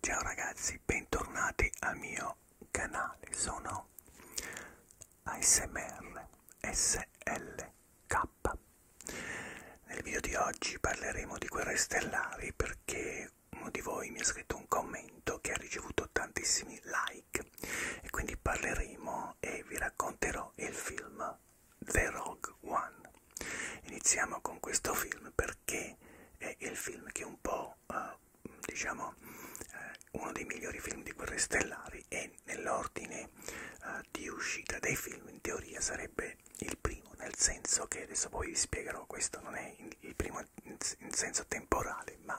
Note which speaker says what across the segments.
Speaker 1: Ciao ragazzi, bentornati al mio canale, sono ASMR SLK. Nel video di oggi parleremo di guerre stellari perché uno di voi mi ha scritto un commento che ha ricevuto tantissimi like e quindi parleremo e vi racconterò il film chiama The Rogue One. Iniziamo con questo film perché è il film che è un po', eh, diciamo, eh, uno dei migliori film di Guerre Stellari e nell'ordine eh, di uscita dei film in teoria sarebbe il primo, nel senso che adesso poi vi spiegherò, questo non è il primo in senso temporale, ma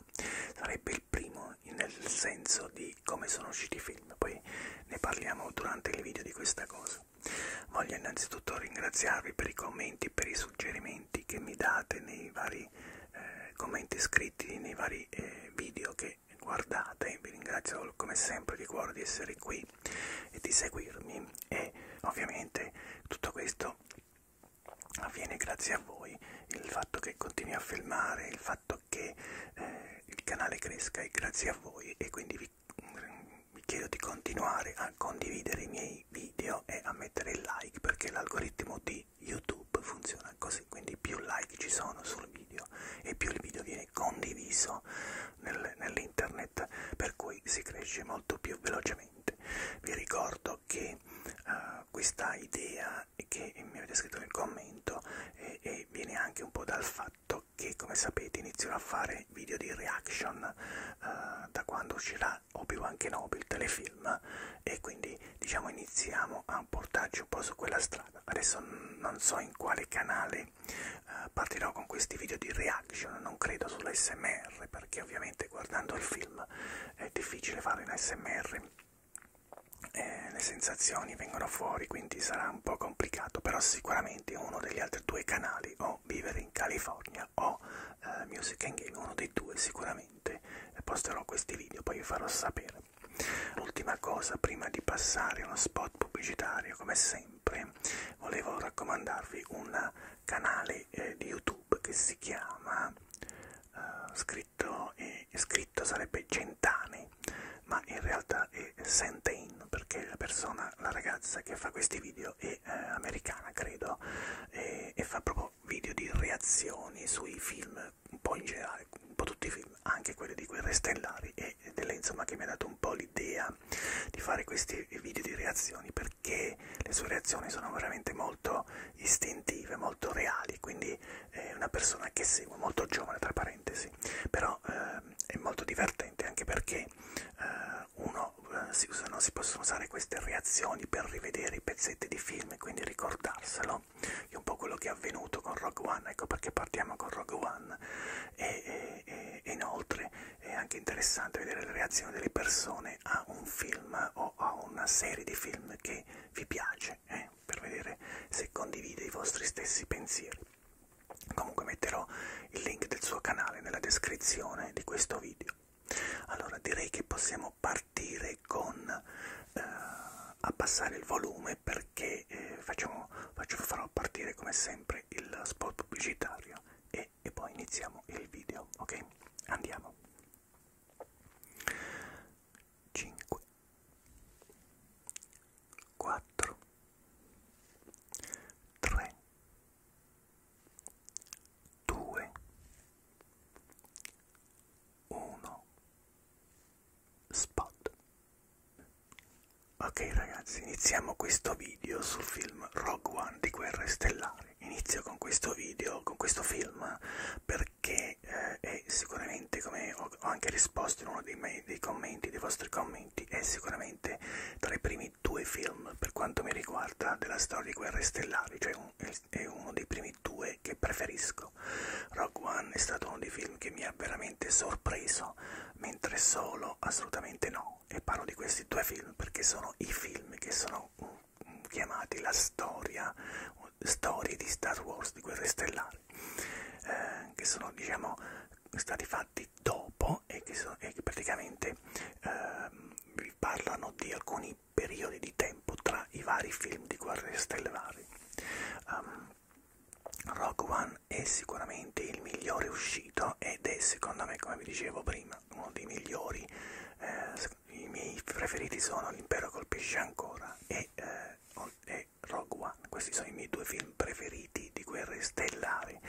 Speaker 1: sarebbe il primo nel senso di come sono usciti i film, poi ne parliamo durante il video di questa cosa. Voglio innanzitutto ringraziarvi per i commenti e per i suggerimenti che mi date nei vari eh, commenti scritti, nei vari eh, video che guardate. Vi ringrazio come sempre di cuore di essere qui e di seguirmi e ovviamente tutto questo avviene grazie a voi, il fatto che continui a filmare, il fatto che eh, il canale cresca è grazie a voi e quindi vi chiedo di continuare a condividere i miei video e a mettere il like perché l'algoritmo di YouTube funziona così, quindi più like ci sono sul video e più il video viene condiviso nel, nell'internet per cui si cresce molto più velocemente. Vi ricordo che uh, questa idea che mi avete scritto nel commento e, eh, e viene anche un po' dal fatto fatto che come sapete inizierò a fare video di reaction eh, da quando uscirà Obi-Wan Kenobi il telefilm e quindi diciamo iniziamo a portarci un po' su quella strada adesso non so in quale canale eh, partirò con questi video di reaction non credo sull'SMR perché ovviamente guardando il film è difficile fare un SMR eh, le sensazioni vengono fuori quindi sarà un po' complicato però sicuramente uno degli altri due canali Natali o vivere in California o eh, Music and Game, uno dei due sicuramente posterò questi video, poi vi farò sapere. L'ultima cosa, prima di passare a uno spot pubblicitario, come sempre, volevo raccomandarvi un canale eh, di YouTube che si chiama, eh, scritto, eh, scritto sarebbe Gentani ma in realtà è Sentain perché la persona, la ragazza che fa questi video è eh, americana credo e, e fa proprio video di reazioni sui film un po' in generale, un po' tutti i film, anche quelli di Guerre Stellari e delle insomma che mi ha dato un po' l'idea di fare questi video di reazioni perché le sue reazioni sono veramente molto istintive, molto reali, quindi è una persona che seguo, molto giovane tra parentesi, però eh, è molto divertente divertente anche perché eh, uno eh, si, usano, si possono usare queste reazioni per rivedere i pezzetti di film e quindi ricordarselo è un po' quello che è avvenuto con Rogue One ecco perché partiamo con Rogue One e, e, e inoltre è anche interessante vedere le reazioni delle persone a un film o a una serie di film che vi piace eh, per vedere se condivide i vostri stessi pensieri comunque metterò il link del suo canale nella descrizione di questo video allora direi che possiamo partire con eh, abbassare il volume perché eh, facciamo, faccio, farò partire come sempre il spot pubblicitario e, e poi iniziamo il video ok andiamo 5 4 3 2 1 spot ok ragazzi iniziamo questo video sul film Rogue One di Guerre Stellari inizio con questo video con questo film perché eh, è sicuramente come ho, ho anche risposto in uno dei miei me, dei commenti, dei vostri commenti, è sicuramente tra i primi due film per quanto mi riguarda della storia di Guerre Stellari, cioè un, è uno dei primi due che preferisco. Rogue One è stato uno dei film che mi ha veramente sorpreso, mentre solo assolutamente no. E parlo di questi due film perché sono i film che sono mm, chiamati la storia, storie di Star Wars, di Guerre Stellari, eh, che sono diciamo stati fatti dopo sono e che, so, e che praticamente ehm, vi parlano di alcuni periodi di tempo tra i vari film di Guerre Stellari. Um, ehm, Rock One è sicuramente il migliore uscito ed è secondo me, come vi dicevo prima, uno dei migliori. Eh, I miei preferiti sono L'impero colpisce ancora e, eh, e Rogue One. Questi sono i miei due film film preferiti di guerre stellari,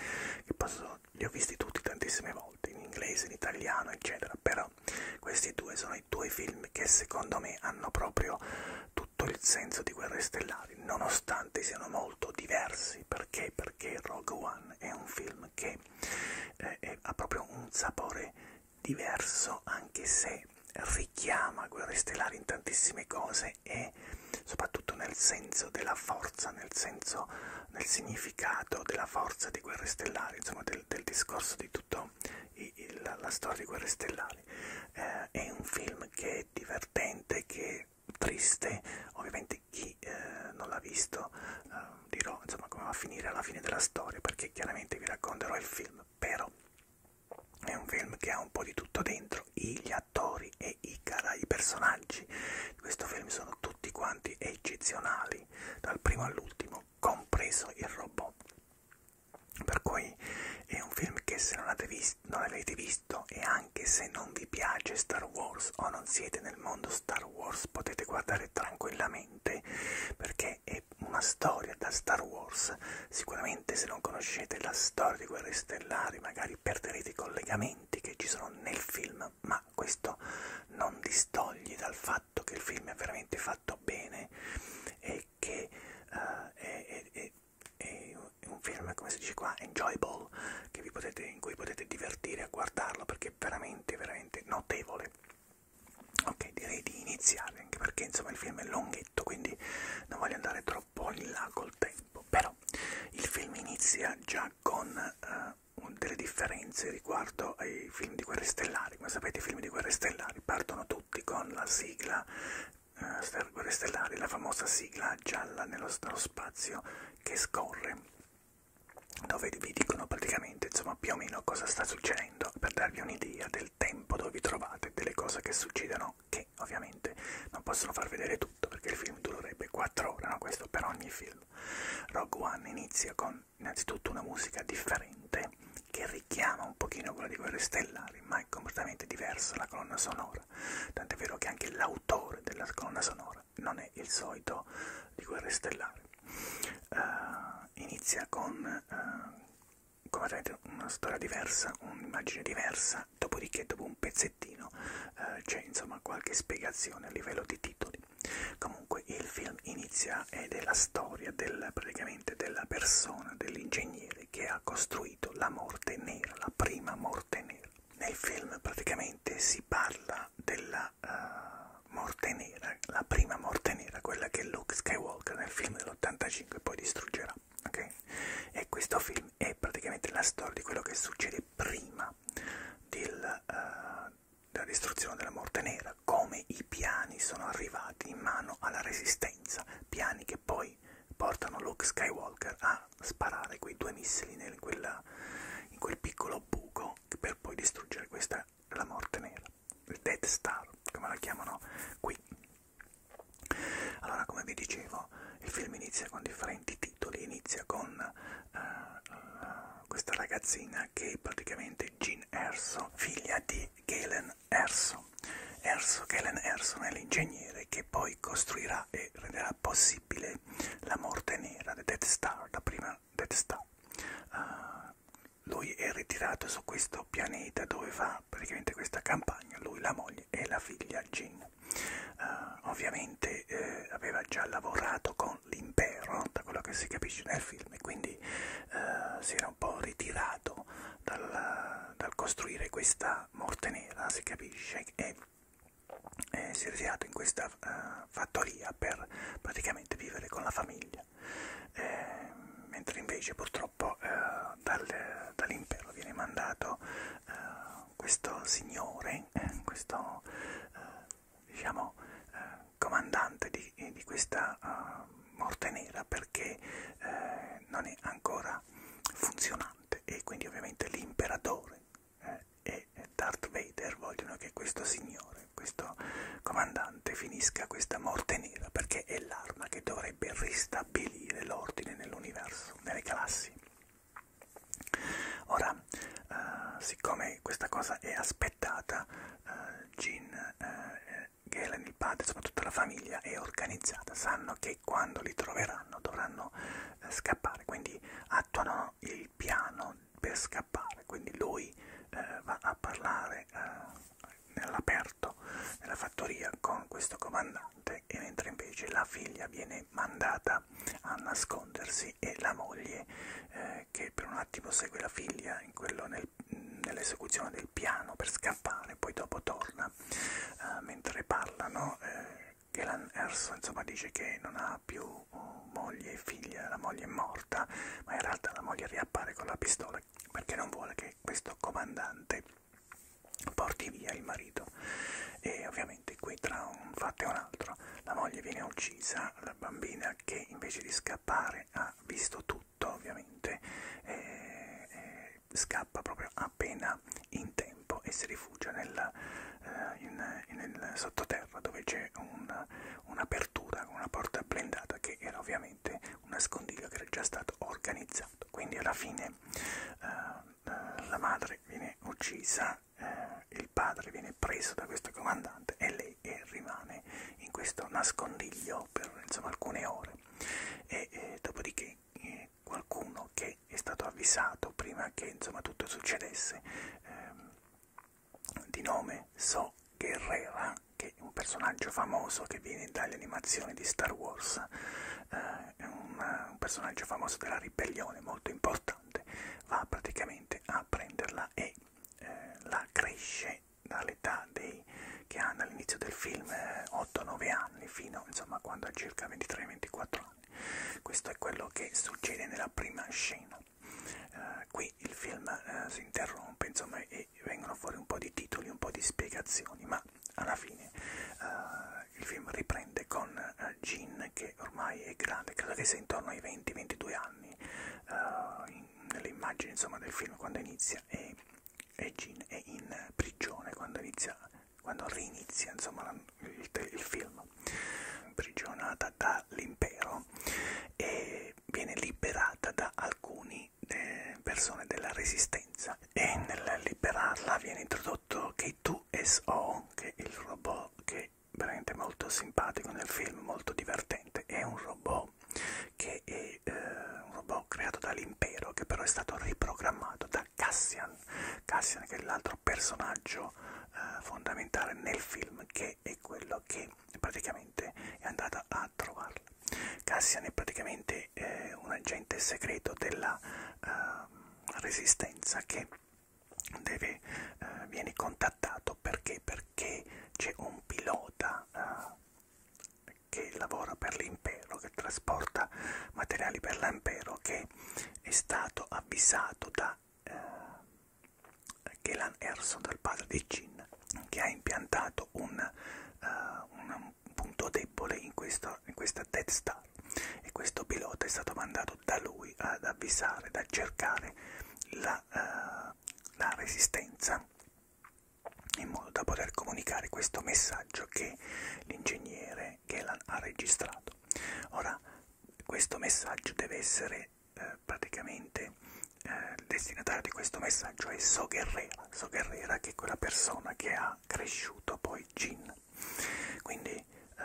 Speaker 1: che posso, li ho visti tutti tantissime volte, in inglese, in italiano, eccetera, però questi due sono i due film che secondo me hanno proprio tutto il senso di guerre stellari, nonostante siano molto diversi, perché? Perché Rogue One è un film che eh, è, ha proprio un sapore diverso, anche se richiama guerre stellari in tantissime cose e me, soprattutto nel senso della forza, nel senso, nel significato della forza di Guerre Stellari, insomma del, del discorso di tutta la storia di Guerre Stellari. Eh, è un film che è divertente, che è triste, ovviamente chi eh, non l'ha visto eh, dirò insomma come va a finire alla fine della storia, perché chiaramente vi racconterò il film, però è un film che ha un po' di tutto dentro, gli attori attori e i, cara i personaggi di questo film sono tutti quanti eccezionali, dal primo all'ultimo, compreso il robot. Per cui è un film che se non, visto, non avete visto e anche se non vi piace Star Wars o non siete nel mondo Star Wars potete guardare tranquillamente perché è una storia da Star Wars. Sicuramente se non conoscete la storia di Guerre stellari, magari perderete i collegamenti che ci sono nel film, ma questo non distoglie dal fatto che il film è veramente fatto bene e che uh, è, è, è, è un film, come si dice qua, enjoyable, che vi potete, in cui potete divertire a guardarlo perché è veramente, veramente notevole. Ok, direi di iniziare, anche perché insomma il film è lunghetto, quindi non voglio andare troppo in là col tempo tempo, però il film inizia già con uh, delle differenze riguardo ai film di Guerre Stellari, come sapete i film di Guerre Stellari partono tutti con la sigla uh, Guerre Stellari, la famosa sigla gialla nello, nello spazio che scorre dove vi dicono praticamente insomma più o meno cosa sta succedendo per darvi un'idea del tempo dove vi trovate, delle cose che succedono no, che ovviamente non possono far vedere tutto perché il film durerebbe 4 ore, no? questo per ogni film. Rogue One inizia con innanzitutto una musica differente che richiama un pochino quella di Guerre Stellari, ma è completamente diversa la colonna sonora, tant'è vero che anche l'autore della colonna sonora non è il solito di Guerre Stellari. Uh, inizia con... Uh, eh, completamente una storia diversa, un'immagine diversa, dopodiché dopo un pezzettino eh, c'è insomma qualche spiegazione a livello di titoli. Comunque il film inizia ed è la storia del, praticamente della persona, dell'ingegnere che ha costruito la morte nera, la prima morte nera. Nel film praticamente si parla della uh, morte nera, la prima morte nera, quella che Luke Skywalker nel film dell'85 poi distruggerà storia, ok? E questo film è praticamente la storia di quello che succede prima del, uh, della distruzione della morte nera, come i piani sono arrivati in mano alla resistenza, piani che poi portano Luke Skywalker a sparare quei due missili nel, in, quella, in quel piccolo buco per poi distruggere questa la morte nera, il Death Star, come la chiamano qui allora, come vi dicevo, il film inizia con differenti titoli, inizia con uh, questa ragazzina che è praticamente Jean Erso, figlia di Galen Erso. Erso, Galen Erson è l'ingegnere che poi costruirà e renderà possibile la morte nera, The Death Star, la prima Death Star. Uh, lui è ritirato su questo pianeta dove fa praticamente questa campagna, lui, la moglie e la figlia Jean. Uh, ovviamente eh, aveva già lavorato con l'impero, da quello che si capisce nel film, e quindi eh, si era un po' ritirato dal, dal costruire questa morte nera, si capisce, e, e si è ritirato in questa uh, fattoria per praticamente vivere con la famiglia, eh, mentre invece purtroppo eh, dal, dall'impero viene mandato eh, questo signore, eh, questo eh, diciamo eh, comandante di, di questa uh, morte nera perché eh, non è ancora funzionante e quindi ovviamente l'imperatore eh, e Darth Vader vogliono che questo signore, questo comandante finisca questa morte nera perché è l'arma che dovrebbe ristabilire l'ordine nell'universo, nelle galassie. Ora, eh, siccome questa cosa è aspettata, eh, Gene, eh, eh, Galen, il padre, soprattutto la famiglia è organizzata, sanno che quando li troveranno dovranno eh, scappare, quindi attuano il piano per scappare, quindi lui eh, va a parlare eh, nell'aperto, nella fattoria con questo comandante importante e mentre invece la figlia viene mandata a nascondersi e la moglie eh, che per un attimo segue la figlia nel, nell'esecuzione del piano per scappare, poi dopo torna eh, mentre parlano. Eh, Kellan Erso insomma dice che non ha più eh, moglie e figlia, la moglie è morta, ma in realtà la moglie riappare con la pistola perché non vuole che questo comandante porti via il marito e ovviamente qui tra un fatto e un altro la moglie viene uccisa, la bambina che invece di scappare ha visto tutto ovviamente eh, eh, scappa proprio appena in tempo e si rifugia nel, eh, in, nel sottoterra dove c'è un'apertura un con una porta blindata che era ovviamente un nascondiglio che era già stato organizzato quindi alla fine eh, eh, la madre viene uccisa, eh, il padre viene preso da questo comandante e lei eh, rimane in questo nascondiglio per insomma, alcune ore e eh, dopodiché eh, qualcuno che è stato avvisato prima che insomma, tutto succedesse eh, di nome So Guerrera che è un personaggio famoso che viene dalle animazioni di Star Wars eh, è un, un personaggio famoso della ribellione molto importante, va praticamente a prenderla e eh, la cresce dall'età che hanno all'inizio del film 8-9 eh, anni fino insomma quando ha circa 23-24 anni. Questo è quello che succede nella prima scena. Uh, qui il film uh, si interrompe insomma e vengono fuori un po' di titoli, un po' di spiegazioni, ma ma alla fine uh, il film riprende con uh, Jean che ormai è grande, credo che sia intorno ai 20-22 anni, uh, in, nelle immagini insomma, del film quando inizia e, e Jean è in prigione quando, inizia, quando rinizia insomma, la, il, il film, imprigionata dall'impero e viene liberata da alcuni eh, persone della resistenza e nel liberarla viene introdotto prodotto K2SO, che è il robot che è veramente molto simpatico nel film, molto divertente. È un robot che è eh, un robot creato dall'impero, che però è stato riprogrammato da Cassian. Cassian che è l'altro personaggio eh, fondamentale nel film, che è quello che praticamente è andato a trovarla. Cassian è praticamente è eh, un agente segreto della eh, resistenza che deve, eh, viene contattato perché? Perché c'è un pilota eh, che lavora per l'impero, che trasporta materiali per l'impero, che è stato avvisato da eh, Kelan Erson, dal padre di Jin, che ha impiantato un, eh, un punto debole in, questo, in questa Death Star avvisare e questo pilota è stato mandato da lui ad avvisare, ad cercare la, uh, la resistenza in modo da poter comunicare questo messaggio che l'ingegnere Gelan ha registrato. Ora, questo messaggio deve essere eh, praticamente eh, destinatario di questo messaggio è Soguerrera, Soguerrera che è quella persona che ha era cresciuto poi Jean. Quindi eh,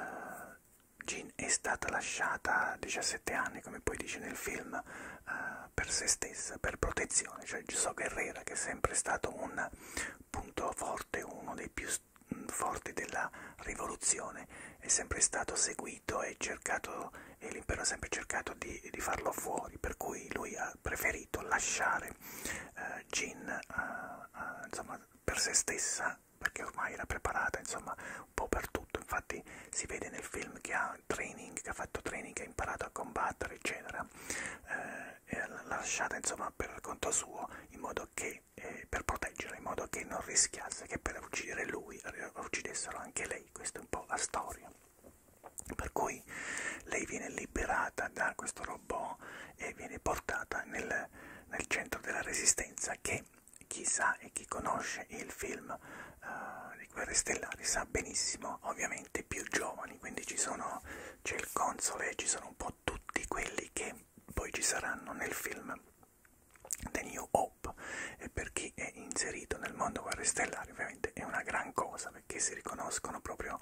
Speaker 1: Jean è stata lasciata a 17 anni, come poi dice nel film, eh, per se stessa, per protezione. Cioè Gesù Guerrera, che è sempre stato un punto forte, uno dei più mm, forti della rivoluzione, è sempre stato seguito e cercato e l'impero ha sempre cercato di, di farlo fuori, per cui lui ha preferito lasciare eh, Jean uh, eh, uh, eh, insomma, per se stessa, perché ormai era preparata insomma, un po' per tutto, infatti si vede nel film che ha training, che ha fatto training, che ha imparato a combattere, eccetera, eh, l'ha lasciata insomma, per conto suo, in modo che, eh, per proteggere, in modo che non rischiasse che per uccidere lui eh, uccidessero anche lei, questa è un po' la storia. Per cui lei viene liberata da questo robot e viene portata nel, nel centro della resistenza che chi sa e chi conosce il film uh, di Guerre Stellari sa benissimo, ovviamente più giovani, quindi c'è il console, ci sono un po' tutti quelli che poi ci saranno nel film The New Hope e per chi è inserito nel mondo Guerre Stellari ovviamente è una gran cosa perché si riconoscono proprio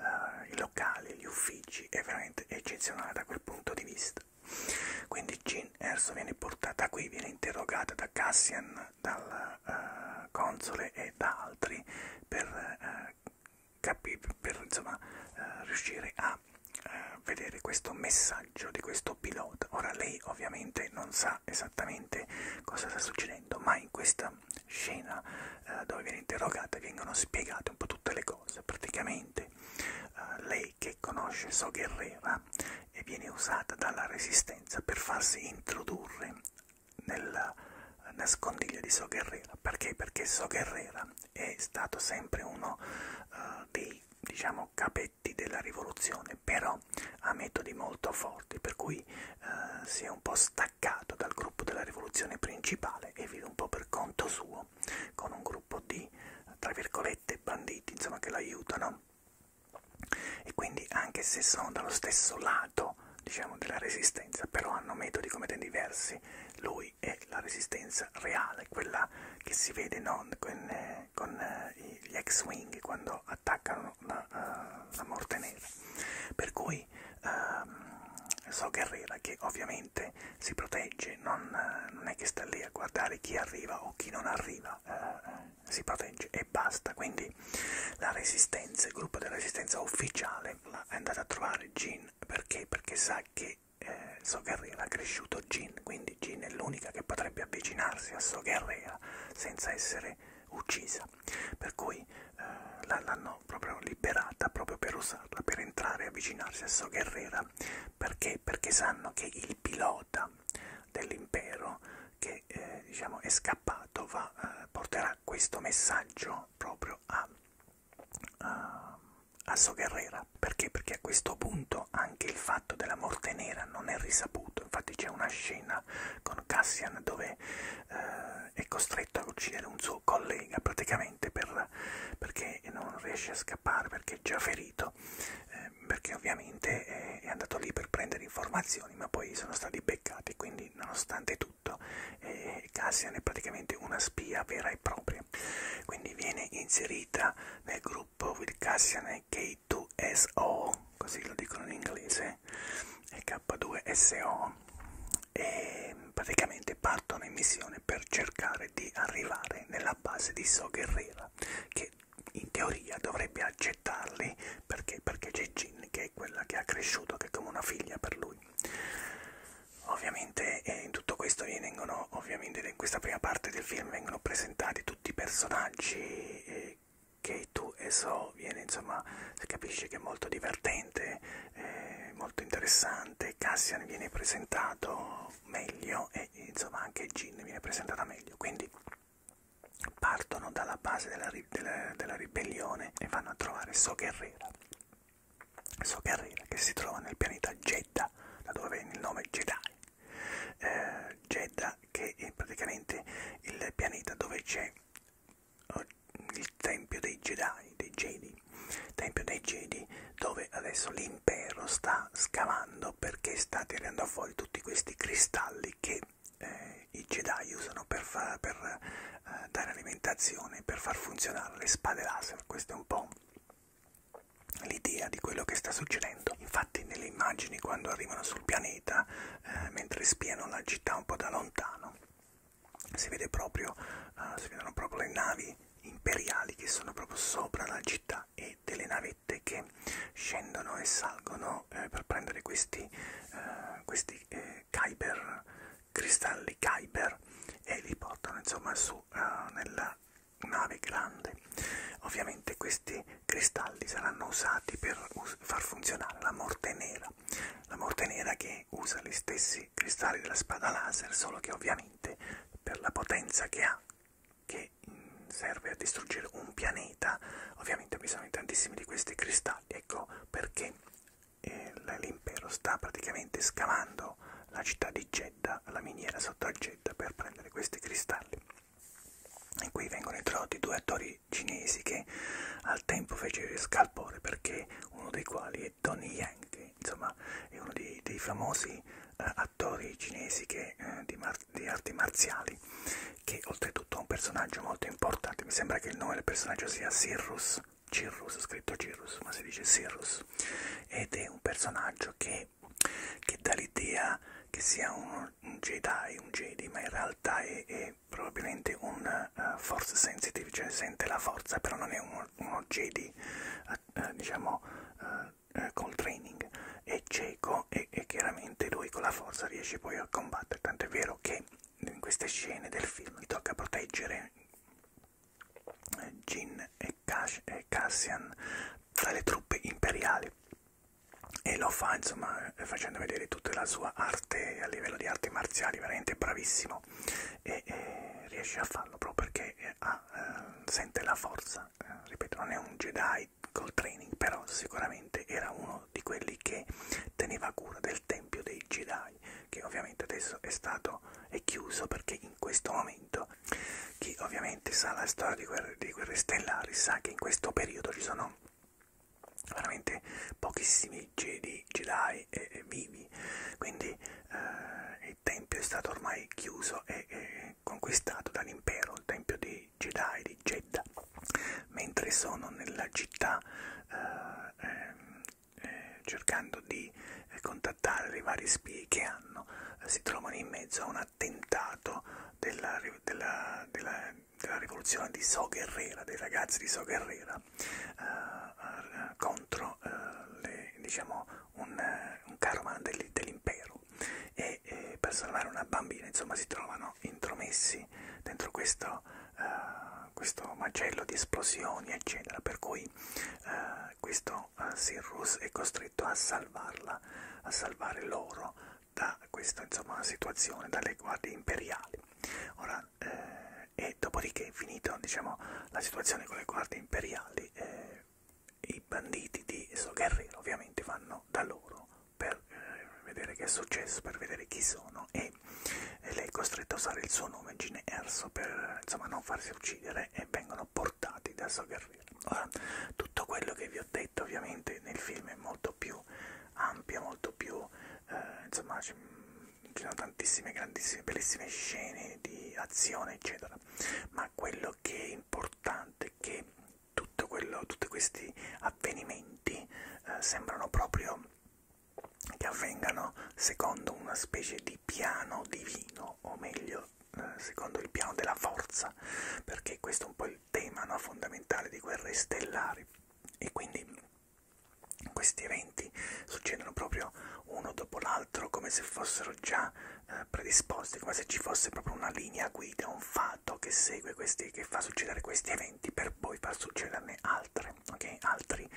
Speaker 1: eh, i locali, gli uffici, è veramente eccezionale da quel punto di vista. Quindi Jean Erso viene portata qui, viene interrogata da Cassian, dal eh, console e da altri per, eh, capire, per insomma, eh, riuscire a eh, vedere questo messaggio di questo pilota. Ora lei ovviamente non sa esattamente cosa sta succedendo, ma in questa scena eh, dove viene interrogata e vengono spiegate un po' tutte le cose. Praticamente eh, lei che conosce So Guerrera e viene usata dalla Resistenza per farsi introdurre nel nascondiglio di So Guerrera. Perché? Perché So Guerrera è stato sempre uno eh, dei diciamo capetti della rivoluzione però ha metodi molto forti per cui eh, si è un po' stanco staccato dal gruppo della rivoluzione principale e vive un po' per conto suo con un gruppo di tra virgolette banditi insomma che l'aiutano e quindi anche se sono dallo stesso lato diciamo della resistenza però hanno metodi completamente diversi lui è la resistenza reale quella che si vede no, con, eh, con eh, gli ex wing quando attaccano la, uh, la morte nera per cui di ehm, So Guerrera che ovviamente si protegge, non, eh, non è che sta lì a guardare chi arriva o chi non arriva, eh, si protegge e basta. Quindi la Resistenza, il gruppo della Resistenza ufficiale è andato a trovare Jin perché? Perché sa che eh, So Guerrera ha cresciuto Jin, quindi Jin è l'unica che potrebbe avvicinarsi a So Guerrera senza essere uccisa. Per cui eh, l'hanno l'hanno proprio liberata proprio per usarla, per entrare e avvicinarsi a So Guerrera. Perché? Perché sanno che il pilota dell'impero che eh, diciamo è scappato va, eh, porterà questo messaggio proprio a, a, a So Guerrera. Perché? Perché a questo punto anche il fatto della morte nera non è risaputo. Infatti c'è una scena con Cassian dove eh, è costretto a uccidere un suo suo collega praticamente per, perché non riesce a scappare, perché è già ferito, eh, perché ovviamente è, è andato lì per prendere informazioni, ma poi sono stati beccati, quindi nonostante tutto eh, Cassian è praticamente una spia vera e propria. Quindi viene inserita nel gruppo with Cassian e K2SO, così lo dicono in inglese K2SO e praticamente partono in missione per cercare di arrivare nella base di So Guerrera che in teoria dovrebbe accettarli perché, perché c'è Jin che è quella che ha cresciuto che è come una figlia per lui ovviamente eh, in tutto questo vengono ovviamente in questa prima parte del film vengono presentati tutti i personaggi eh, che tu e so viene insomma si capisce che è molto divertente eh, molto interessante, Cassian viene presentato meglio e insomma anche Gin viene presentata meglio, quindi partono dalla base della, ri della, della ribellione e vanno a trovare So Guerrera, So Guerrera che si trova nel pianeta Jeddah, da dove viene il nome Jedi. Eh, Jeddah che è praticamente il pianeta dove c'è il tempio dei Jedi, dei Jedi, tempio dei Jedi, dove adesso l'impero sta scavando perché sta tirando fuori tutti questi cristalli che eh, i Jedi usano per, fa, per eh, dare alimentazione, per far funzionare le spade laser. Questo è un po' l'idea di quello che sta succedendo. Infatti nelle immagini quando arrivano sul pianeta, eh, mentre spiano la città un po' da lontano, si, vede proprio, uh, si vedono proprio le navi imperiali che sono proprio sopra la città e delle navette che scendono e salgono eh, per prendere questi, eh, questi eh, Kyber, cristalli Kyber e li portano insomma su uh, nella nave grande. Ovviamente questi cristalli saranno usati per us far funzionare la morte nera, la morte nera che usa gli stessi dei cristalli della spada laser, solo che ovviamente per la potenza che ha, che serve a distruggere un pianeta, ovviamente bisogna tantissimi di questi cristalli, ecco perché eh, l'impero sta praticamente scavando la città di Jeddah, la miniera sotto a Jeddah per prendere questi cristalli. E qui vengono introdotti due attori cinesi che al tempo fecero il scalpore perché uno dei quali è Tony Yang, che insomma è uno dei, dei famosi eh, attori cinesi che, eh, di, di arti marziali, che oltretutto è un personaggio molto importante, mi sembra che il nome del personaggio sia Cyrus, Cirrus, scritto Cirrus, ma si dice Cyrus, ed è un personaggio che, che dà l'idea che sia un, un Jedi, un Jedi, ma in realtà è, è probabilmente un uh, force sensitive, cioè sente la forza, però non è un, uno Jedi, uh, eh, uh, eh, diciamo, uh, uh, col training, è cieco e, e chiaramente lui con la forza riesce poi a combattere, tanto è vero che in queste scene del film gli tocca proteggere Jin e, Cash, e Cassian dalle truppe imperiali e lo fa insomma facendo vedere tutta la sua arte a livello di arti marziali veramente bravissimo e, e riesce a farlo proprio perché eh, ha, eh, sente la forza, eh, ripeto non è un Jedi col training però sicuramente era uno di quelli che teneva cura del tempio dei Jedi che ovviamente adesso è stato è chiuso perché in questo momento chi ovviamente sa la storia di guerre, di guerre stellari sa che in questo periodo ci sono veramente pochissimi eroi, Jedi, Jedi e, e vivi, quindi eh, il tempio è stato ormai chiuso e, e conquistato dall'impero, il tempio di Jedi, di Jeddah, mentre sono nella città eh, ehm, eh, cercando di eh, contattare i vari spie che hanno, eh, si trovano in mezzo a un attentato della, della, della, della rivoluzione di So Guerrera, dei ragazzi di So Guerrera, eh, contro eh, le, diciamo, un, eh, un caravan dell'impero e eh, per salvare una bambina insomma si trovano intromessi dentro questo, eh, questo macello di esplosioni eccetera per cui eh, questo eh, Sirrus è costretto a salvarla, a salvare loro da questa insomma, situazione, dalle guardie imperiali. Ora, eh, e dopodiché finito diciamo, la situazione con le guardie imperiali eh, i banditi di so, Guerrero ovviamente vanno da loro per eh, vedere che è successo, per vedere chi sono e, e lei è costretta a usare il suo nome Gine Erso per insomma, non farsi uccidere e vengono portati da So Guerrero. Ora, tutto quello che vi ho detto ovviamente nel film è molto più ampio, molto più eh, insomma ci sono tantissime grandissime bellissime scene di azione eccetera ma quello che è importante è che tutto quello, tutti questi avvenimenti eh, sembrano proprio che avvengano secondo una specie di piano divino o meglio eh, secondo il piano della forza perché questo è un po' il tema no, fondamentale di guerre stellari e quindi questi eventi succedono proprio uno dopo l'altro come se fossero già eh, predisposti, come se ci fosse proprio una linea guida, un fatto che segue questi, che fa succedere questi eventi per poi far succederne altre, ok? Altri.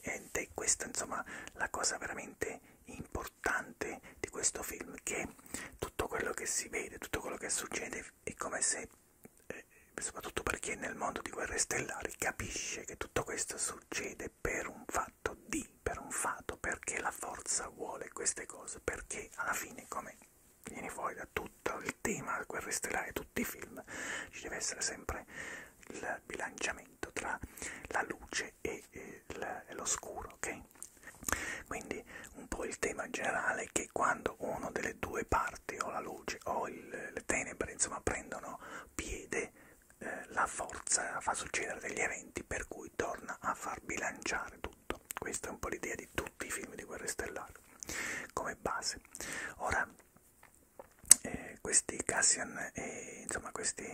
Speaker 1: Ed è questa insomma la cosa veramente importante di questo film, che tutto quello che si vede, tutto quello che succede è come se eh, soprattutto per chi è nel mondo di guerre stellari, capisce che tutto questo succede per un fatto di, per un fatto, perché la forza vuole queste cose, perché alla fine, come viene fuori da tutto il tema guerre stellari, tutti i film, ci deve essere sempre il bilanciamento tra la luce e, e, e l'oscuro, ok? Quindi un po' il tema generale è che quando una delle due parti l'arte o la luce o il, le tenebre, insomma, prendono piede, eh, la forza fa succedere degli eventi per cui torna a far bilanciare tutto. Questa è un po' l'idea di tutti i film di Guerre Stellari come base. Ora, eh, questi Cassian e insomma questi,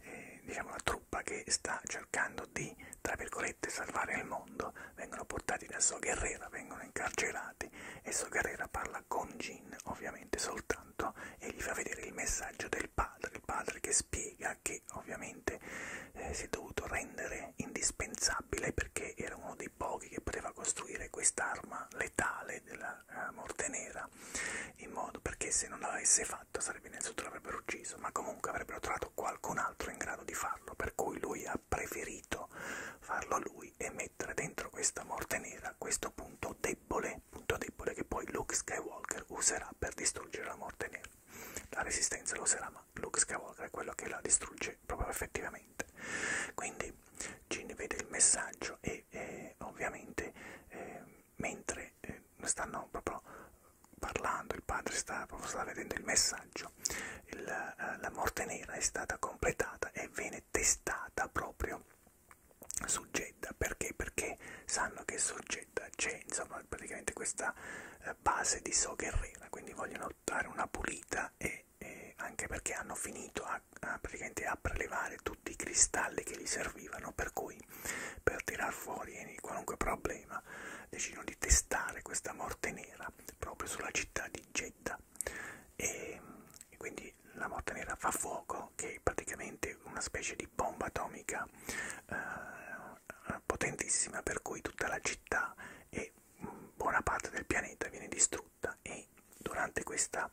Speaker 1: eh, diciamo la truppa che sta cercando di, tra virgolette, salvare il mondo, vengono portati da So Guerrera, vengono incarcerati e So Guerrera parla con Jin Jane ovviamente soltanto e gli fa vedere il messaggio del padre, il padre che spiega che ovviamente eh, si è dovuto rendere indispensabile perché era uno dei pochi che poteva costruire quest'arma letale della eh, morte nera in modo perché se non l'avesse fatto sarebbe innanzitutto l'avrebbero ucciso ma comunque avrebbero trovato qualcun altro in grado di farlo per cui lui ha preferito farlo lui e meglio mettere dentro questa morte nera questo punto debole, punto debole che poi Luke Skywalker userà per distruggere la morte nera. La resistenza lo userà, ma Luke Skywalker è quello che la distrugge proprio effettivamente. Quindi Gin vede il messaggio e eh, ovviamente eh, mentre eh, stanno proprio parlando, il padre sta, proprio sta vedendo il messaggio, il, eh, la morte nera è stata completata e viene testata basata proprio su Jeddah perché? Perché sanno che su Jeddah c'è insomma praticamente questa eh, base di Sogherrera, quindi vogliono dare una pulita e, e anche perché hanno finito a, a, praticamente a prelevare tutti i cristalli che gli servivano, per cui per tirar fuori qualunque problema decidono di testare questa morte nera proprio sulla città di Jeddah e, e quindi la morte nera fa fuoco, che è praticamente una specie di bomba atomica eh, potentissima, per cui tutta la città e mm, buona parte del pianeta viene distrutta e durante questa,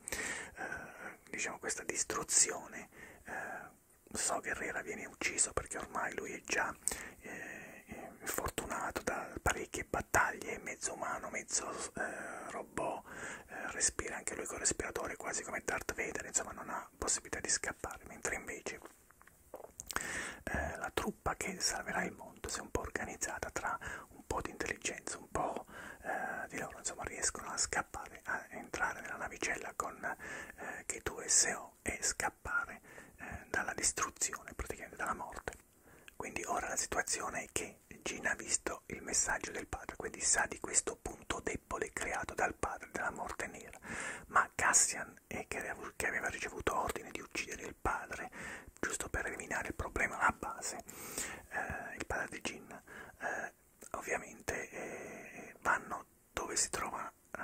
Speaker 1: eh, diciamo, questa distruzione eh, So Guerrera viene ucciso perché ormai lui è già eh, fortunato da parecchie battaglie battaglie, mezzo umano, mezzo eh, robot, eh, respira anche lui col respiratore quasi come Darth Vader, insomma non ha possibilità di scappare, mentre invece eh, la truppa che salverà il mondo si è un po' organizzata tra un po' di intelligenza, un po' eh, di loro, insomma riescono a scappare, a entrare nella navicella con eh, K2SO e scappare eh, dalla distruzione, praticamente dalla morte. Quindi ora la situazione è che Gina ha visto il messaggio del padre, quindi sa di questo punto debole creato dal padre della morte nera, ma Cassian, è che aveva ricevuto ordine di uccidere il padre, giusto per eliminare il problema alla base, eh, il padre di Gina, eh, ovviamente eh, vanno dove si trova eh,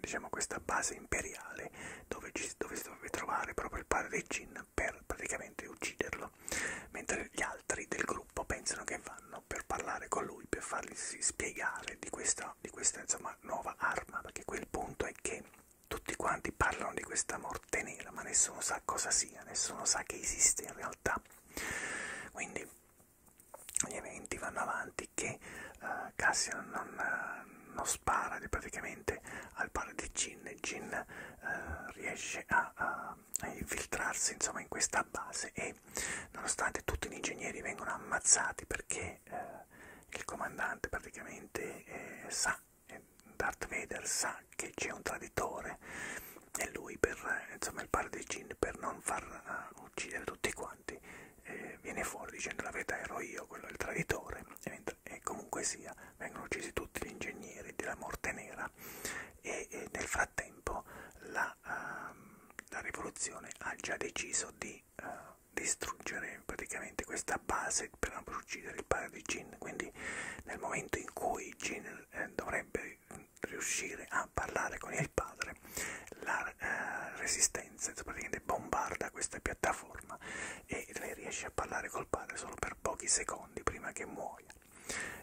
Speaker 1: diciamo questa base imperiale, dove, ci, dove si doveva trovare proprio il padre di Gin per praticamente ucciderlo, mentre gli altri del gruppo pensano che vanno per parlare con lui, per fargli spiegare di questa, di questa insomma, nuova arma, perché quel punto è che tutti quanti parlano di questa morte nera, ma nessuno sa cosa sia, nessuno sa che esiste in realtà. Quindi gli eventi vanno avanti che uh, Cassian non, uh, non spara praticamente al padre di Jin e Jin eh, riesce a, a, a infiltrarsi insomma in questa base e nonostante tutti gli ingegneri vengono ammazzati perché eh, il comandante praticamente eh, sa, eh, Darth Vader sa che c'è un traditore e lui per eh, insomma il padre dei Jin per non far uh, uccidere tutti quanti eh, viene fuori dicendo la verità ero io, quello è il traditore e Robert e comunque sia vengono uccisi tutti gli ingegneri della morte nera e, e nel frattempo la, uh, la rivoluzione ha già deciso di uh, distruggere praticamente questa base per non uccidere il padre di Jin quindi nel momento in cui Jin eh, dovrebbe riuscire a parlare con il padre la eh, resistenza praticamente bombarda questa piattaforma e lei riesce a parlare col padre solo per pochi secondi secondi prima che muoia.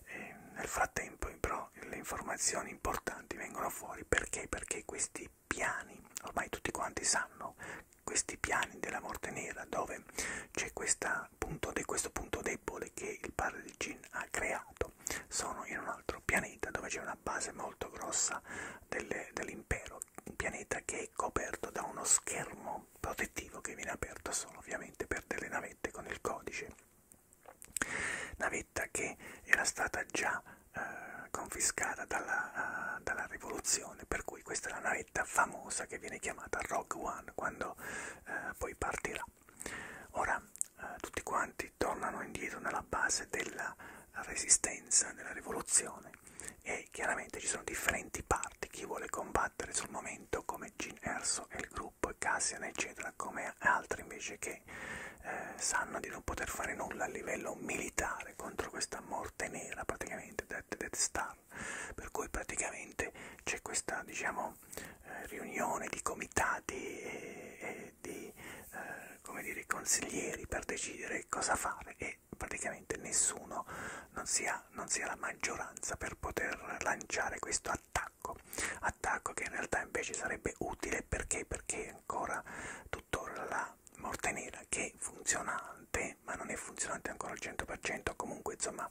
Speaker 1: E nel frattempo però le informazioni importanti vengono fuori perché? Perché questi piani, ormai tutti quanti sanno, questi piani della morte nera dove c'è punto de, questo punto debole che il padre di Jin ha creato, sono in un altro pianeta dove c'è una base molto grossa dell'impero, dell un pianeta che è coperto da uno schermo protettivo che viene aperto solo ovviamente per delle navette con il codice. Navetta che era stata già eh, confiscata dalla, uh, dalla rivoluzione, per cui questa è la navetta famosa che viene chiamata Rogue One quando eh, poi partirà. Ora eh, tutti quanti tornano indietro nella base della resistenza, della rivoluzione e chiaramente ci sono differenti parti, chi vuole combattere battere sul momento come Gin Erso e il gruppo e Cassian eccetera come altri invece che eh, sanno di non poter fare nulla a livello militare contro questa morte nera praticamente Death, Death Star per cui praticamente c'è questa diciamo eh, riunione di comitati e, e di eh, come dire consiglieri per decidere cosa fare e praticamente nessuno non sia, non sia la maggioranza per poter lanciare questo attacco attacco che in realtà invece sarebbe utile perché perché ancora tuttora la morte nera che è funzionante ma non è funzionante ancora al 100% comunque insomma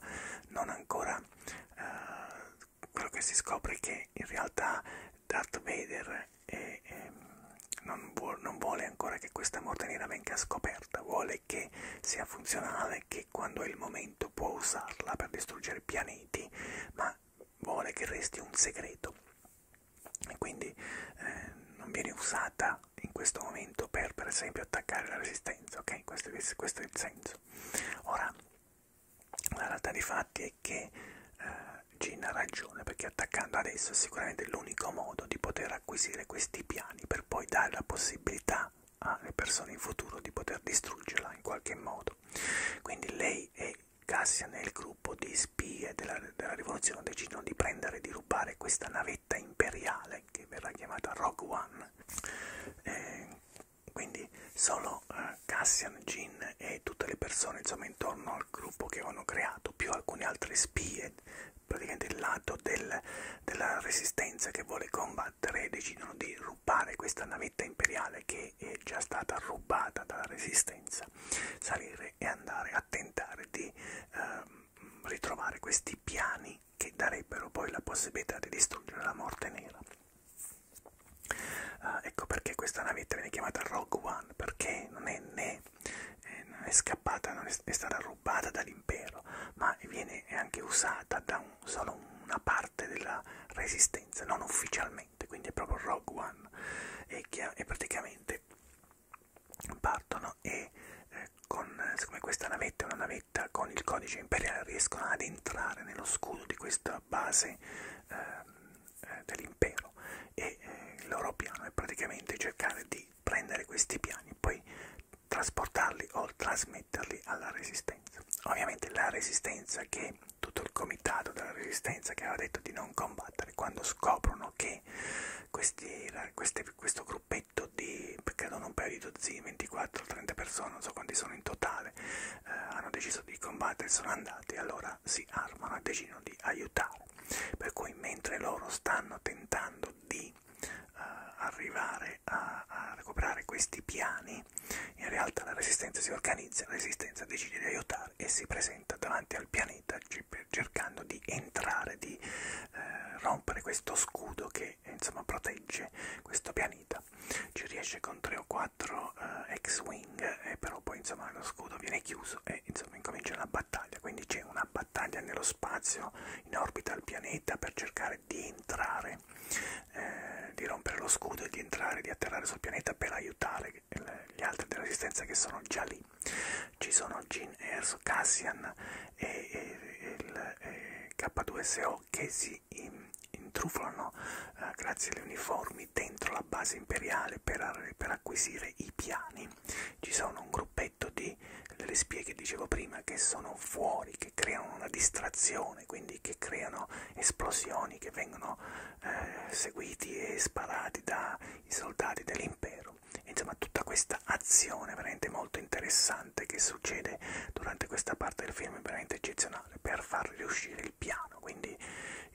Speaker 1: non ancora eh, quello che si scopre è che in realtà Darth Vader è, è ehm, non vuole ancora che questa morte nera venga scoperta, vuole e che sia funzionale, che quando è il momento può usarla per distruggere pianeti, ma vuole che resti un segreto e quindi eh, non viene usata in questo momento per per esempio attaccare la resistenza, ok? Questo, questo è il senso. Ora, la realtà dei fatti è che eh, Gina ha ragione perché attaccando adesso è sicuramente l'unico modo di poter acquisire questi piani per poi dare la possibilità alle persone in futuro di poter distruggerla in qualche modo. Quindi lei e Cassian e il gruppo di spie della, della rivoluzione decidono di prendere e di rubare questa navetta imperiale che verrà chiamata Rogue One. Eh, quindi solo eh, Cassian, Jin e tutte le persone insomma, intorno al gruppo che avevano creato, più alcune altre spie praticamente il lato del, della resistenza che vuole combattere e decidono di rubare questa navetta imperiale che è già stata rubata dalla resistenza, salire e andare a tentare di eh, ritrovare questi piani che darebbero poi la possibilità di distruggere la morte nera. Uh, ecco perché questa navetta viene chiamata Rogue One, perché non è né, eh, non è scappata, non è, è stata rubata dall'impero impero, ma viene anche usata da un, solo una parte della resistenza, non ufficialmente, quindi è proprio Rogue One. E, e praticamente partono e eh, con, siccome questa navetta è una navetta con il codice imperiale, riescono ad entrare nello scudo di questa base ehm, eh, dell'impero e eh, il loro piano è praticamente cercare di prendere questi piani, poi trasportarli o trasmetterli alla resistenza. Ovviamente la resistenza che tutto il comitato della resistenza che aveva detto di non combattere, quando scoprono che questi, queste, questo gruppetto di, credo un paio di dozzine, 24-30 persone, non so quanti sono in totale, eh, hanno deciso di combattere, sono andati, allora si armano e decidono di aiutare. Per cui mentre loro stanno tentando di eh, arrivare a, a recuperare questi piani, in realtà la resistenza si organizza, la resistenza decide di aiutare e si presenta davanti al pianeta cercando di entrare, di eh, rompere questo scudo che insomma protegge questo pianeta. Ci riesce con 3 o 4 eh, X-Wing, eh, però poi insomma lo scudo viene chiuso e insomma incomincia una battaglia, quindi c'è una battaglia nello spazio in orbita al pianeta pianeta per cercare di entrare, eh, di rompere lo scudo e di entrare, di atterrare sul pianeta per aiutare gli altri della resistenza che sono già lì. Ci sono Gene Erso, Cassian e, e, il, e K2SO che si intrufano eh, grazie alle uniformi dentro la base imperiale per, per acquisire i piani. Ci sono un gruppo aspetto di, delle spie che dicevo prima, che sono fuori, che creano una distrazione, quindi che creano esplosioni, che vengono eh, seguiti e sparati dai soldati dell'impero. Insomma, tutta questa azione veramente molto interessante che succede durante questa parte del film è veramente eccezionale per far riuscire il piano. Quindi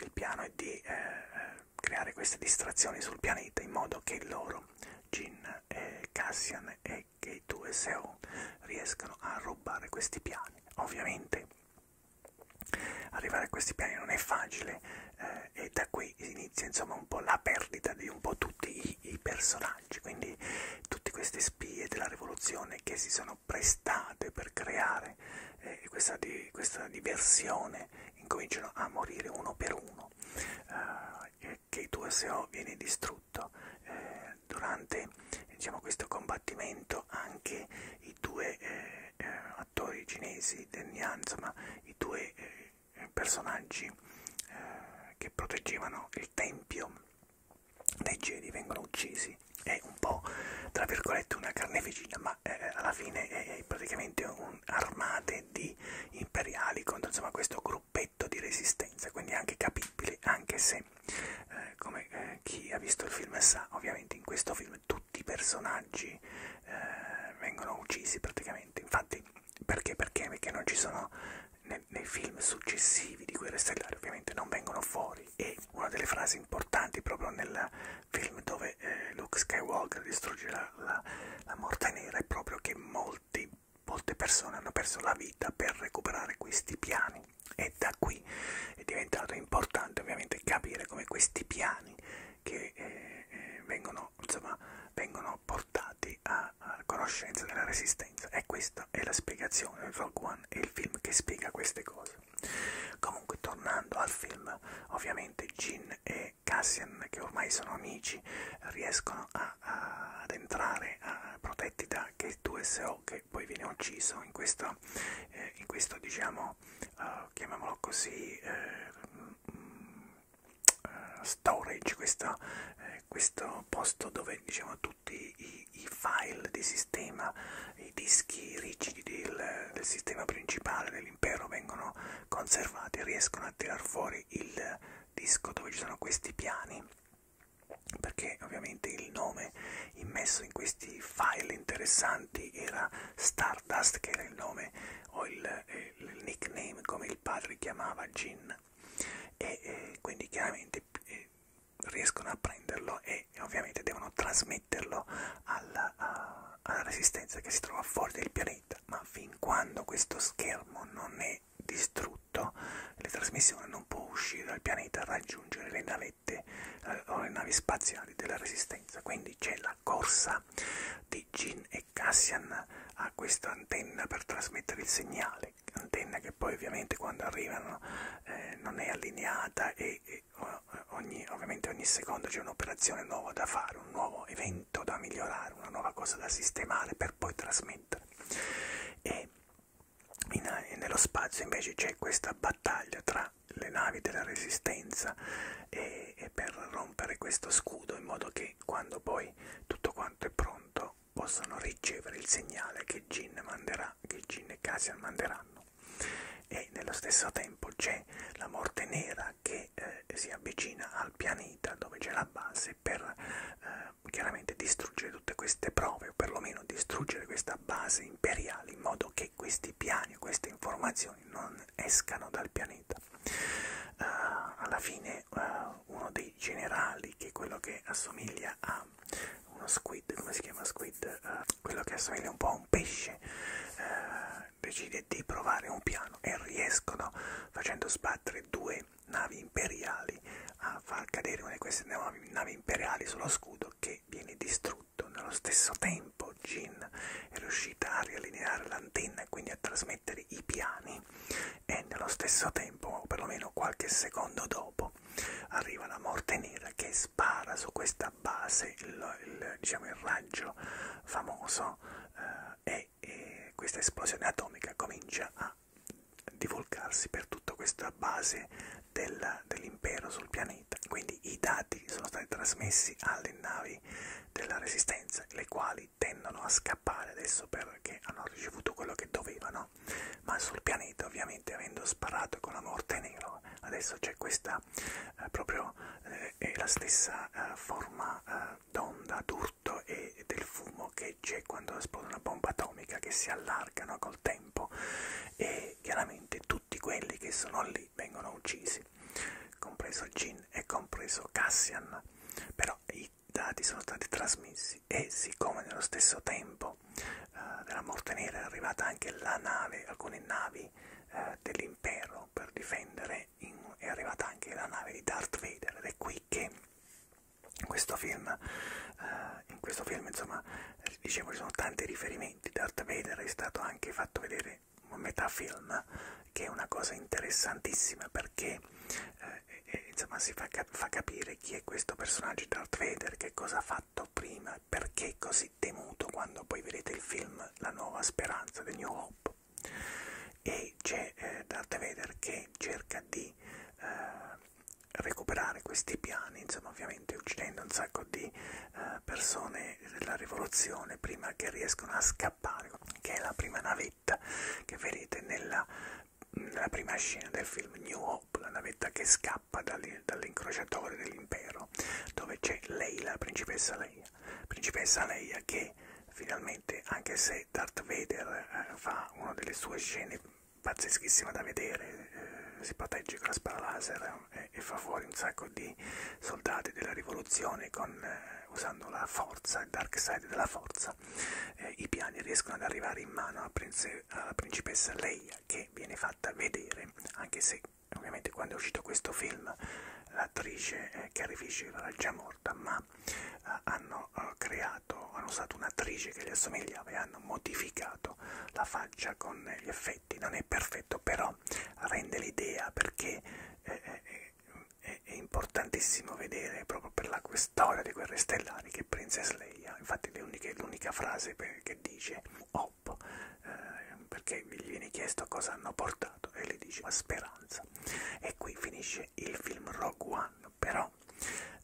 Speaker 1: il piano è di eh, eh creare queste distrazioni sul pianeta in modo che loro Jin, e Cassian e K2 e Seon riescano a rubare questi piani. Ovviamente arrivare a questi piani non è facile eh, e da qui inizia insomma un po' la perdita di un po' tutti i, i personaggi, quindi tutte queste spie della rivoluzione che si sono prestate per creare eh, questa, di, questa diversione incominciano a morire uno per uno. Uh, eh, che il tuo SEO viene distrutto. Eh, durante diciamo, questo combattimento anche i due eh, eh attori cinesi, Denyan, insomma i due eh, personaggi eh, che proteggevano il tempio dei Jedi vengono uccisi. È un po' tra virgolette una carneficina, ma eh, alla fine è praticamente un'armate di imperiali contro insomma, questo gruppo gruppetto di resistenza, quindi anche capibile, anche se, eh, come eh, chi ha visto il film sa, ovviamente in questo film tutti i personaggi eh, vengono uccisi praticamente. Infatti, perché? Perché? Perché non ci sono nei, nei film successivi di Guerre Stellari, ovviamente non vengono fuori. E una delle frasi importanti proprio nel film dove eh, Luke Skywalker distrugge la, la, la morte nera è proprio che molti molte persone hanno perso la vita per recuperare questi piani e da qui è diventato importante ovviamente capire come questi piani che eh, eh, vengono, insomma, vengono portati a, a conoscenza della resistenza e questa è la spiegazione, Rogue One è il film che spiega queste cose. Comunque tornando al film, ovviamente Jin e e Cassian, che ormai sono amici, riescono a, a, ad entrare a, protetti da Gate 2SO, che poi viene ucciso in questo, eh, in questo diciamo, uh, chiamiamolo così, eh, uh, storage, questa, eh, questo posto dove diciamo, tutti i, i file di sistema, i dischi rigidi del, del sistema principale dell'impero vengono conservati, riescono a tirar fuori il disco dove ci sono questi piani perché ovviamente il nome immesso in questi file interessanti era Stardust che era il nome o il, eh, il nickname come il padre chiamava Gin e eh, quindi chiaramente eh, riescono a prenderlo e ovviamente devono trasmetterlo alla, a, alla resistenza che si trova fuori del pianeta ma fin quando questo schermo non è è distrutto, la trasmissione non può uscire dal pianeta e raggiungere le navette eh, o le navi spaziali della Resistenza. Quindi c'è la corsa di Gin e Cassian a questa antenna per trasmettere il segnale, antenna che poi ovviamente quando arrivano eh, non è allineata e, e ogni, ovviamente ogni secondo c'è un'operazione nuova da fare, un nuovo evento da migliorare, una nuova cosa da sistemare per poi trasmettere. E in, eh, nello spazio invece c'è questa battaglia tra le navi della resistenza e, e per rompere questo scudo in modo che quando poi tutto quanto è pronto possano ricevere il segnale che Jin manderà, che Jin e Cassian manderanno. E nello stesso tempo c'è la morte nera stella che eh, si avvicina al pianeta dove c'è la base per eh, chiaramente distruggere tutte queste prove o perlomeno distruggere questa base imperiale in modo che questi piani, queste informazioni non escano dal pianeta. Uh, alla fine uh, uno dei generali che è quello che assomiglia a uno squid, come si chiama squid? Uh, quello che assomiglia un po' a un pesce uh, decide di provare un piano e riescono facendo sbattere essere due navi imperiali a far cadere una di queste navi, navi imperiali sullo scudo che viene distrutto. Nello stesso tempo Jin è riuscita a riallineare l'antenna e quindi a trasmettere i piani e nello stesso tempo, o perlomeno qualche secondo dopo, arriva la morte nera che spara su questa base il, il, diciamo, il raggio famoso eh, e e, e questa esplosione atomica comincia a divulgarsi per tutta questa base del, dell'impero sul pianeta. Quindi i dati sono stati trasmessi alle navi della resistenza, le quali tendono a scappare adesso perché hanno ricevuto quello che dovevano, ma sul pianeta ovviamente avendo sparato con la morte nero, adesso c'è questa eh, proprio eh, è la stessa eh, forma eh, d'onda, d'urto dell'urto e del fumo che c'è quando esplode una bomba atomica che si allargano col tempo e chiaramente tutti quelli che sono lì vengono uccisi, compreso Jin e compreso Cassian, però i dati sono stati trasmessi e siccome nello stesso tempo eh, della morte nera è arrivata anche la nave, alcune navi eh, dell'impero per difendere, in, è arrivata anche la nave di Darth Vader ed è qui poiché questo film, eh, in questo film insomma dicevo ci sono tanti riferimenti, Darth Vader è stato anche fatto vedere un metafilm che è una cosa interessantissima perché eh, e, insomma si fa, cap fa capire chi è questo personaggio Darth Vader, che cosa ha fatto prima, perché è così temuto quando poi vedete il film La nuova speranza, The New Hope e c'è eh, Darth Vader che cerca di eh, recuperare questi piani, insomma ovviamente uccidendo un sacco di eh, persone della rivoluzione prima che riescono a scappare, che è la prima navetta che vedete nella, nella prima scena del film New Hope, la navetta che scappa dall'incrociatore dell'impero, dove c'è Leila, la principessa Leila Leia, principessa Leia che finalmente, anche se Darth Vader eh, fa una delle sue scene pazzeschissime da vedere, eh, si protegge con la spara laser eh, e fa fuori un sacco di soldati della rivoluzione con, eh, usando la forza, il dark side della forza, eh, i piani riescono ad arrivare in mano alla, prince, alla principessa Leia che viene fatta vedere, anche se ovviamente quando è uscito questo film l'attrice eh, Carrie Fisher era già morta, ma ma eh, hanno eh, creato, hanno usato un'attrice che gli assomigliava e hanno modificato la faccia con gli effetti. Non è perfetto, però rende l'idea perché eh, eh, è, è importantissimo vedere proprio per la storia di Guerre Stellari che Princess Leia, infatti l'unica frase per, che dice, op, eh, perché gli viene chiesto cosa hanno portato risultato e le dice ma speranza e qui finisce il film Rogue One però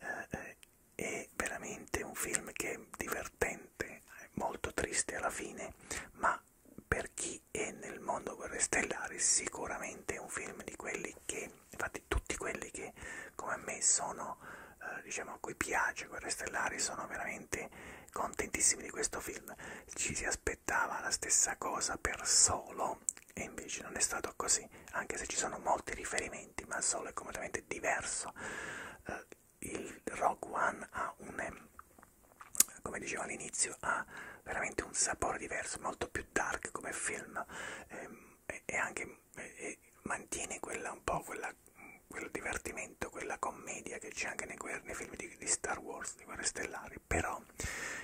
Speaker 1: eh, eh è veramente un film che è divertente molto triste alla fine ma per chi è nel mondo guerre stellari sicuramente è un film di quelli che infatti tutti quelli che come a me sono eh, diciamo a cui piace guerre stellari sono veramente contentissimi di questo film ci si aspetta aspettava la stessa cosa per Solo e invece non è stato così, anche se ci sono molti riferimenti, ma Solo è completamente diverso. Uh, il Rogue One ha un, come dicevo all'inizio, ha veramente un sapore diverso, molto più dark come film ehm, e, e, anche e mantiene quella un po' quella quel divertimento, quella commedia che c'è anche nei, nei film di, di Star Wars, di Guerre Stellari, però no?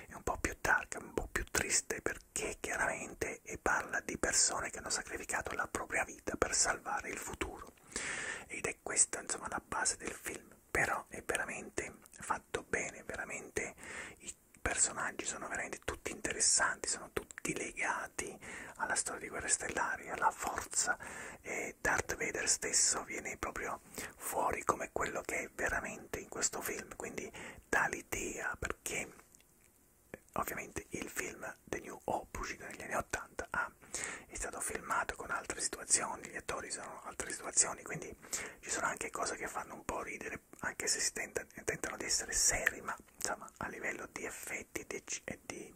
Speaker 1: È un po' più dark, un po' più triste perché chiaramente parla di persone che hanno sacrificato la propria vita per salvare il futuro. Ed è questa insomma la base del film, però è veramente fatto bene, veramente i personaggi sono veramente tutti interessanti, sono tutti legati alla storia di Guerre Stellari, alla forza e Darth Vader stesso viene proprio veniva fuori come quello che è veramente in questo film, quindi dà l'idea perché eh, ovviamente il film The New Hope uscito negli anni 80 ah, è stato filmato con altre situazioni, gli attori sono altre situazioni, quindi ci sono anche cose che fanno un po' ridere anche se si tenta, tentano di essere seri, ma insomma a livello di effetti di, e di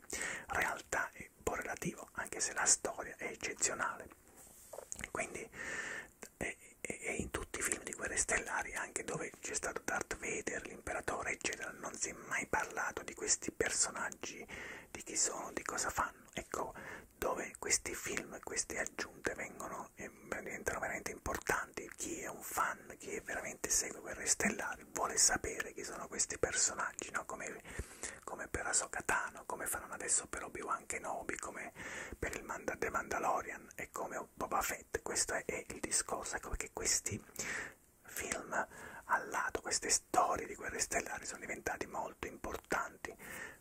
Speaker 1: realtà è un po' relativo, anche se la storia è eccezionale. Quindi e, e, e in tutti i film di guerre stellari, anche dove c'è stato Darth Vader, l'imperatore, eccetera, non si è mai parlato di questi personaggi, di chi sono, di cosa fanno. Ecco, dove questi film, queste aggiunte vengono e eh, diventano veramente importanti. Chi è un fan, chi è veramente segue Guerre Stellari, vuole sapere chi sono questi personaggi, no? come, come per Asokatano, come faranno adesso per Obi-Wan anche Nobi come per il Manda The Mandalorian e come Boba Fett, questo è, è il discorso, ecco perché questi film al lato, queste storie di guerre stellari sono diventate molto importanti.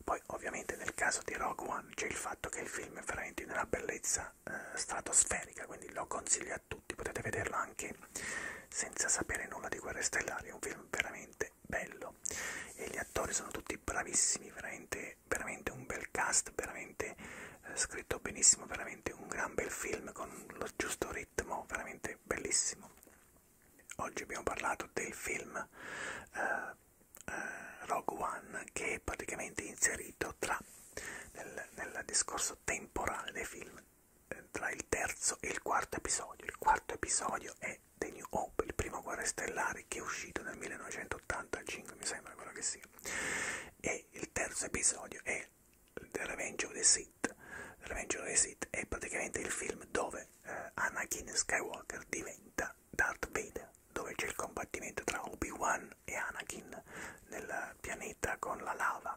Speaker 1: Poi ovviamente nel caso di Rogue One c'è il fatto che il film è veramente di una bellezza eh, stratosferica, quindi lo consiglio a tutti, potete vederlo anche senza sapere nulla di guerre stellari, è un film veramente bello e gli attori sono tutti bravissimi, veramente veramente, veramente un bel cast, veramente eh, scritto benissimo, veramente un gran bel film con lo giusto ritmo, veramente bellissimo. Oggi abbiamo parlato del film eh, eh, Rogue One che è praticamente inserito tra, nel, nel discorso temporale dei film eh, tra il terzo e il quarto episodio. Il quarto episodio è è The New Hope, il primo Guerre Stellari che è uscito nel 1985, mi sembra quello che sia. E il terzo episodio è The Revenge of the Sith. The Revenge of the Sith è praticamente il film dove eh, Anakin Skywalker diventa Darth Vader, dove c'è il combattimento tra Obi-Wan e Anakin nel pianeta con la lava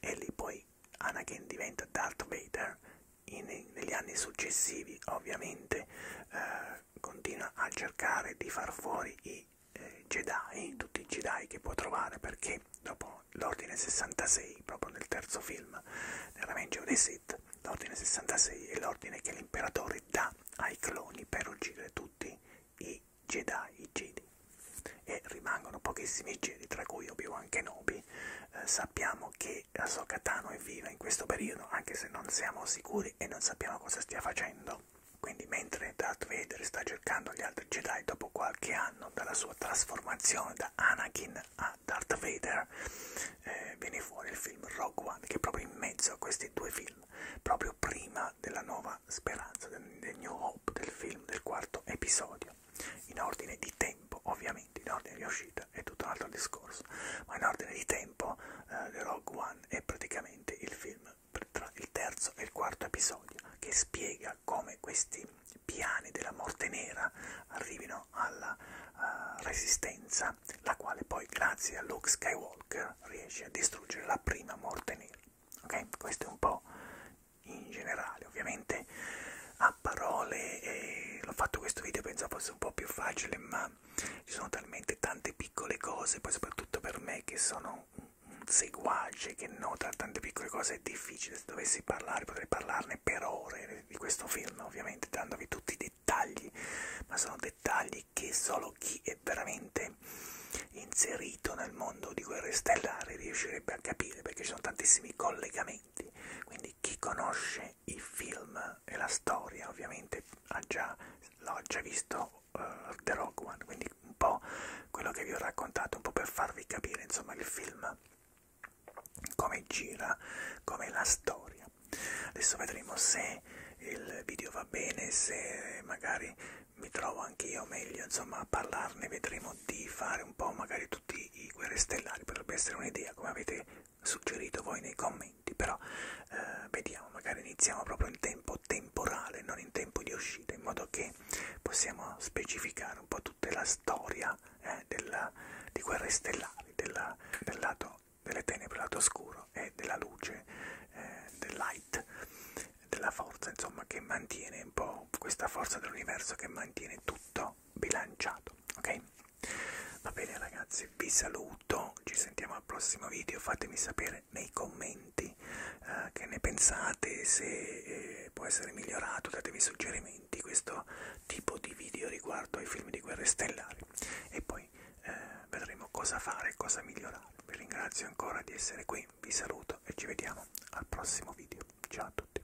Speaker 1: e lì poi Anakin diventa Darth Vader in, negli anni successivi ovviamente eh, continua a cercare di far fuori i eh, Jedi, tutti i Jedi che può trovare, perché dopo l'Ordine 66, proprio nel terzo film, nel Revenge of the Sith, l'Ordine 66 è l'ordine che l'imperatore dà ai cloni per uccidere tutti i Jedi, i Jedi. E rimangono pochissimi Jedi, tra cui Obi-Wan Kenobi. Eh, sappiamo che che Ahsoka Tano è viva in questo periodo, anche se non siamo sicuri e non sappiamo cosa stia facendo. Quindi mentre Darth Vader sta cercando gli altri Jedi dopo qualche anno dalla sua trasformazione da Anakin a Darth Vader, eh, viene fuori il film Rogue One, che è proprio in mezzo a questi due film, proprio prima della nuova speranza, del, del New Hope, del film del quarto episodio, in ordine di tempo ovviamente, in ordine di uscita. World è tutto un altro discorso, ma in ordine di tempo eh, The Rogue One è praticamente il film tra il terzo e il quarto episodio che spiega come questi piani della morte nera arrivino alla uh, resistenza, la quale poi grazie a Luke Skywalker riesce a distruggere la prima morte nera. Okay? Questo è un po' in generale, ovviamente a parole eh, l'ho fatto questo video pensavo fosse un po' più facile, ma realtà ci sono talmente tante piccole cose, poi soprattutto per me che sono un seguace che nota tante piccole cose è difficile, se dovessi parlare potrei parlarne per ore di questo film ovviamente dandovi tutti i dettagli, ma sono dettagli che solo chi è veramente inserito nel mondo di guerre stellari riuscirebbe a capire perché ci sono tantissimi collegamenti, quindi chi conosce i film e la storia ovviamente già, l'ho già visto uh, The Rogue One, quindi un po' quello che vi ho raccontato, un po' per farvi capire insomma il film, come gira, come la storia. Adesso vedremo se il video va bene, se magari mi trovo anch'io meglio insomma a parlarne, vedremo di fare un po' magari tutti i guerre stellari, potrebbe essere un'idea come avete suggerito voi nei commenti, però eh, vediamo, magari iniziamo proprio in tempo temporale, non in tempo di uscita, in modo che possiamo specificare un po' tutta la storia eh, della, di Guerre Stellari, della, del lato delle tenebre, lato oscuro e della luce, eh, del light, della forza, insomma, che mantiene un po' questa forza dell'universo che mantiene tutto bilanciato, ok? Va bene ragazzi, vi saluto, ci sentiamo al prossimo video, fatemi sapere nei commenti eh, che ne pensate, se eh, può essere migliorato, datevi suggerimenti, questo tipo di video riguardo ai film di guerre stellari e poi eh, vedremo cosa fare e cosa migliorare. Vi ringrazio ancora di essere qui, vi saluto e ci vediamo al prossimo video. Ciao a tutti.